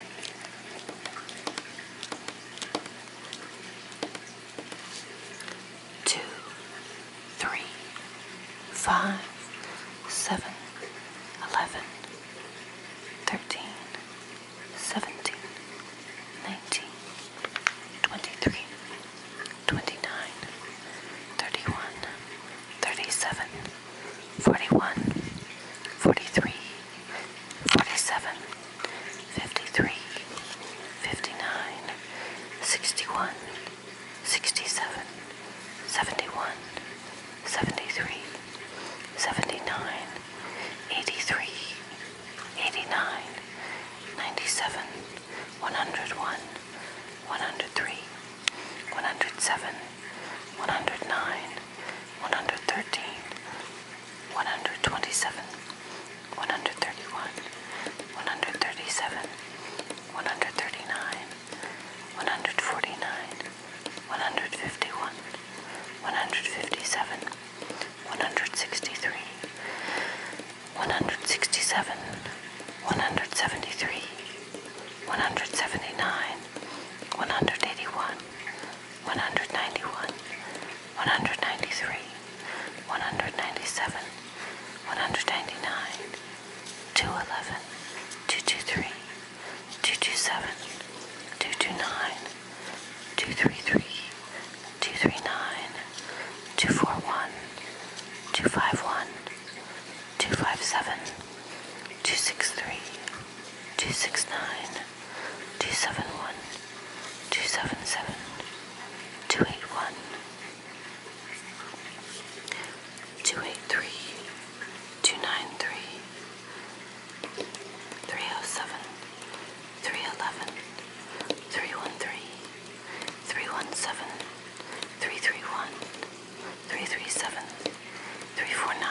Two, three, five, seven, eleven, thirteen, seventeen, nineteen, twenty-three, twenty-nine, thirty-one, thirty-seven. 41, 43, 47, 53, 59, 61, 67, 71, 73, 79, 83, 89, 97, 101, 103, 107, 109, 113, 127, 131, 137, 139, 149, 151, 157, 163, 167, 173, 179, 181, 191, 193, 197, 199, 211, 223, 227, 229, 233, 239, 241, 251, 257, 263, 269, 271, 277, 281, 283, 293, 307, 311, 313, 317, 331, 337 349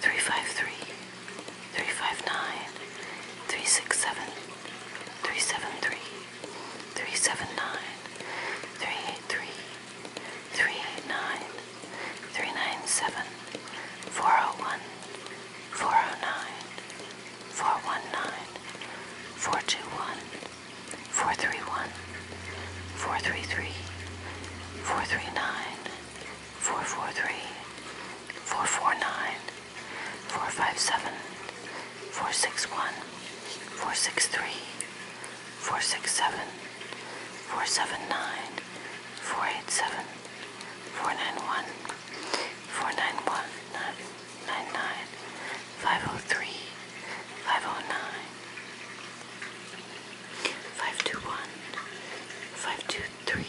353 359 367 397 401 409 419 421 431, 433, 439, 443, 449, 457, 461, 463, 467, 479, 487, 491, 491, 503 509 521 523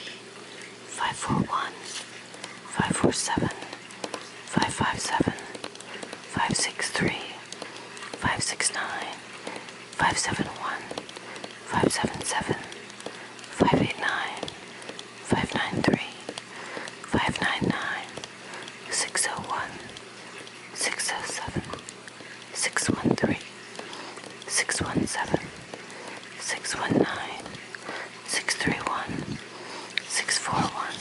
541 547 557 563 569 571 577 589 593 599 601 607 613 617 619 631 641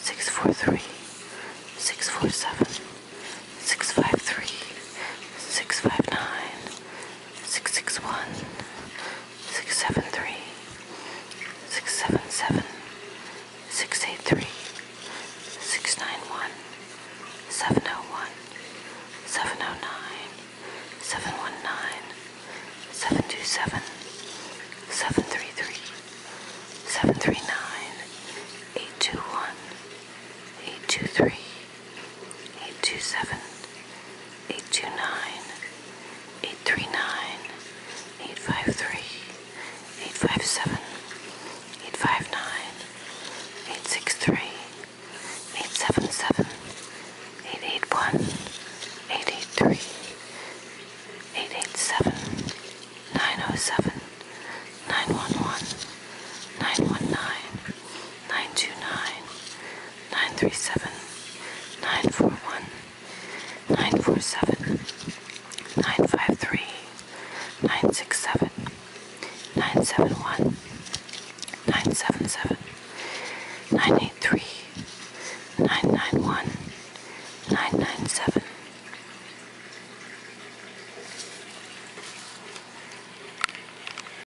643 647 653 659 661 six seven three six seven seven six eight three six nine one seven oh one seven oh nine seven one nine seven two seven seven three three seven three nine eight two one eight two three eight two seven 829, 839, 853, 857, 859, 863, 877, 881, 883, 887, 907, 911, 919, 929 937 941 947 953 967 971 977 983 991 997